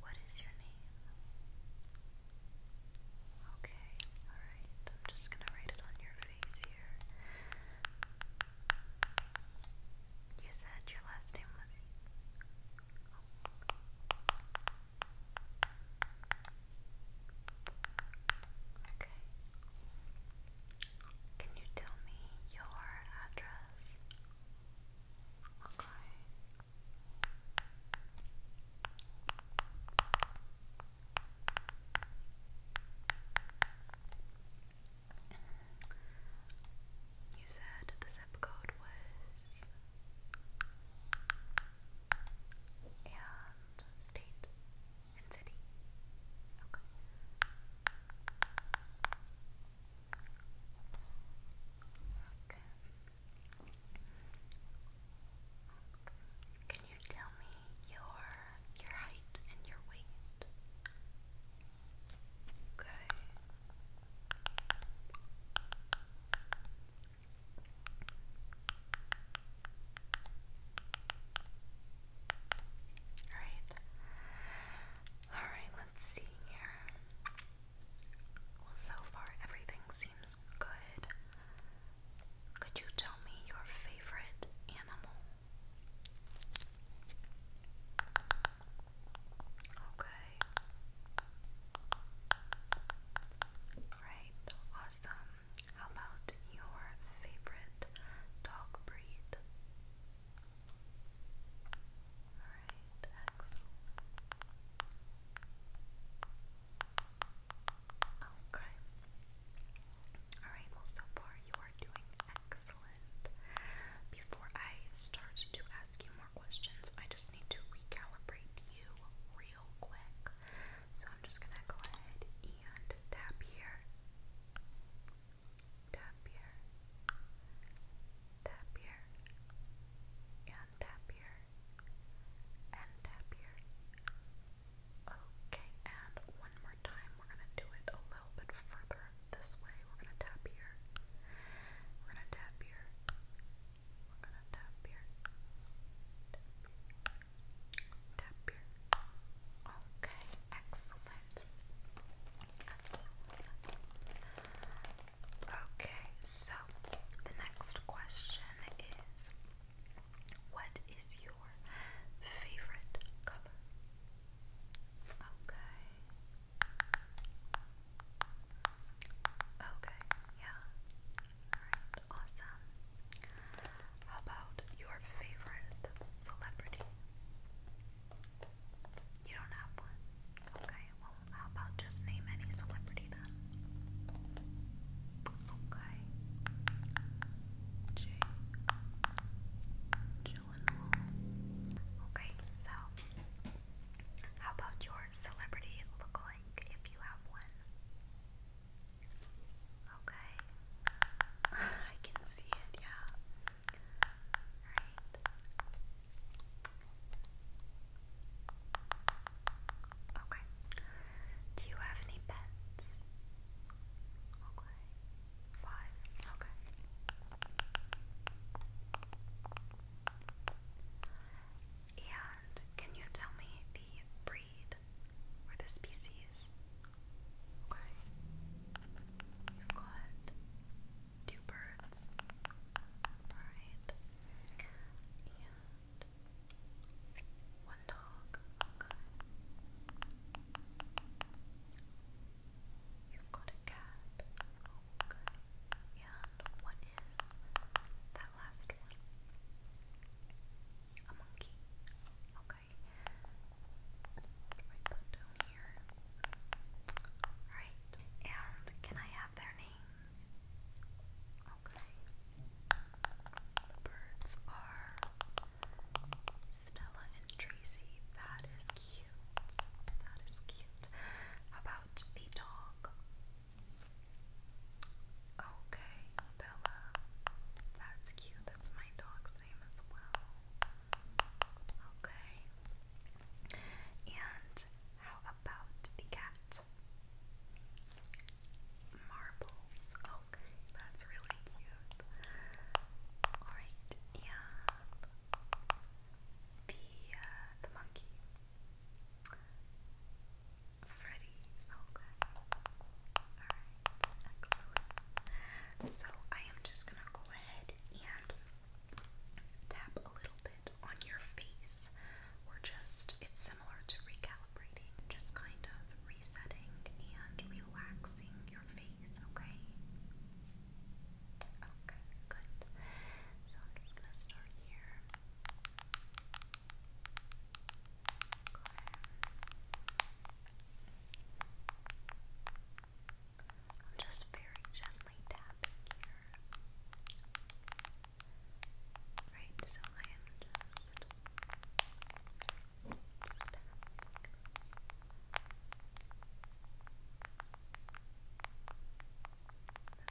What is your name? Okay, alright. I'm just gonna write it on your face here. You said your last name was. Okay. Can you tell me your address? Okay. You said the zip code was and state and city. Okay. Okay. Can you tell me your your height and your weight? Okay. All right. All right, let here. Well, so far everything seems good. Could you tell me your favorite animal? Okay. Right, awesome. How about your favorite dog breed? Alright, excellent. Okay. Alright, well, so far you are doing excellent. Before I start to ask you more questions, I just need to recalibrate you real quick. So I'm just gonna go ahead and tap here tap here, tap here, and tap here, and tap here. Okay, and one more time, we're gonna do it a little bit further this way. We're gonna tap here, we're gonna tap here, we're gonna tap here, tap here, Okay, excellent. Excellent. Okay, so the next question is What is your favorite color? Okay. Okay, yeah. Alright, awesome. How about your favorite celebrity? You don't have one? Okay, well, how about just name any celebrity then? Okay. Jake. Gyllenhaal. Okay, so how about your celebrity lookalike if you have one? Okay. I can see it, yeah. Right. Okay. Do you have any pets? Okay. Five. Okay. And can you tell me the breed or the species. Okay. You've got two birds. Alright. And one dog. Okay. You've got a cat. Okay. And what is that last one? A monkey. Okay. Okay. Write And can I have their names? Okay. The birds are Stella and Tracy. That is cute. That is cute. about the dog? Okay, Bella. That's cute. That's my dog's name as well. Okay. And how about the cat? Marbles. Okay, oh, that's really cute. Alright, and the, uh, the monkey. Freddy. Okay. Alright. Excellent. So I am just gonna go ahead and tap a little bit on your face. We're just it's similar to recalibrating, just kind of resetting and relaxing your face, okay? Okay, good. So I'm just gonna start here. Okay. I'm just very gently tapping here. Right, so I am just, just tapping this. This is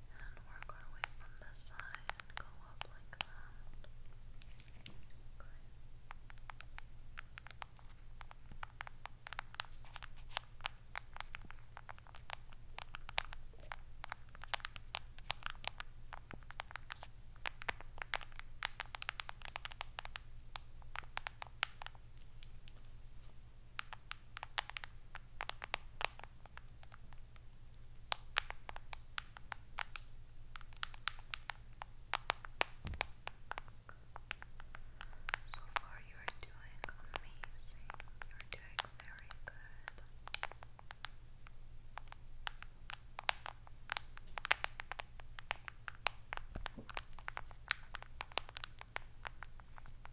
And work our way from this side and go up like that. So far, you are doing amazing. You are doing very good. Now,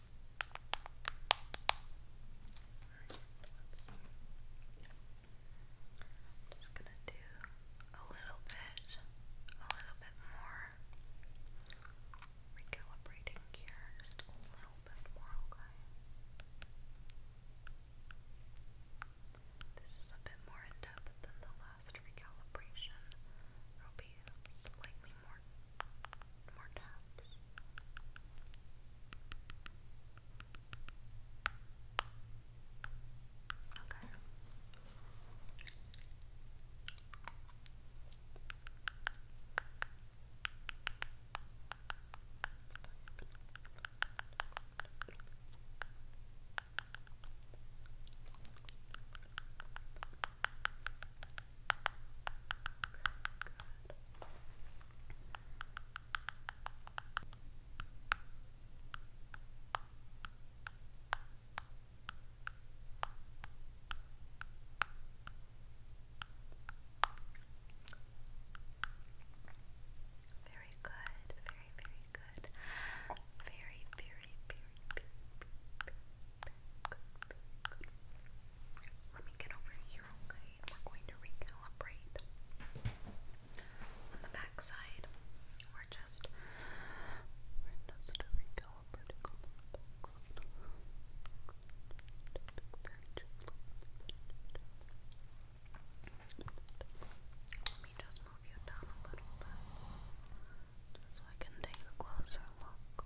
just gonna do a little bit, a little bit more recalibrating here, just a little bit more, okay? This is a bit more in depth than the last recalibration. It'll be slightly more, more taps. Okay. Okay. Very good, very, very good. Very, very, very, very, good, Let me get over here, okay? we're going to recalibrate. On the back we're just recalibrating Let me just move you down a little bit. Just so I can take a closer look.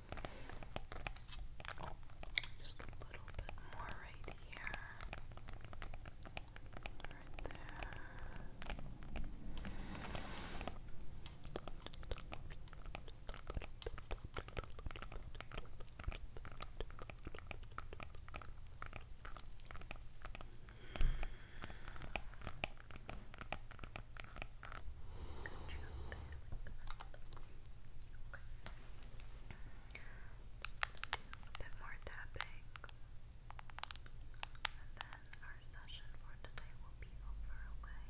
Just a little bit more right here. Right there. Just going a bit more tapping. And then our session for today will be over, okay? Alright.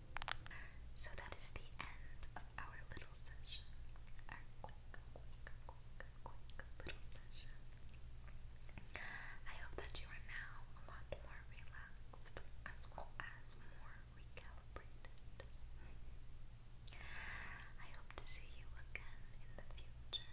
So that is the end of our little session. Our quick, quick, quick, quick little session. I hope that you are now a lot more relaxed as well as more recalibrated. I hope to see you again in the future.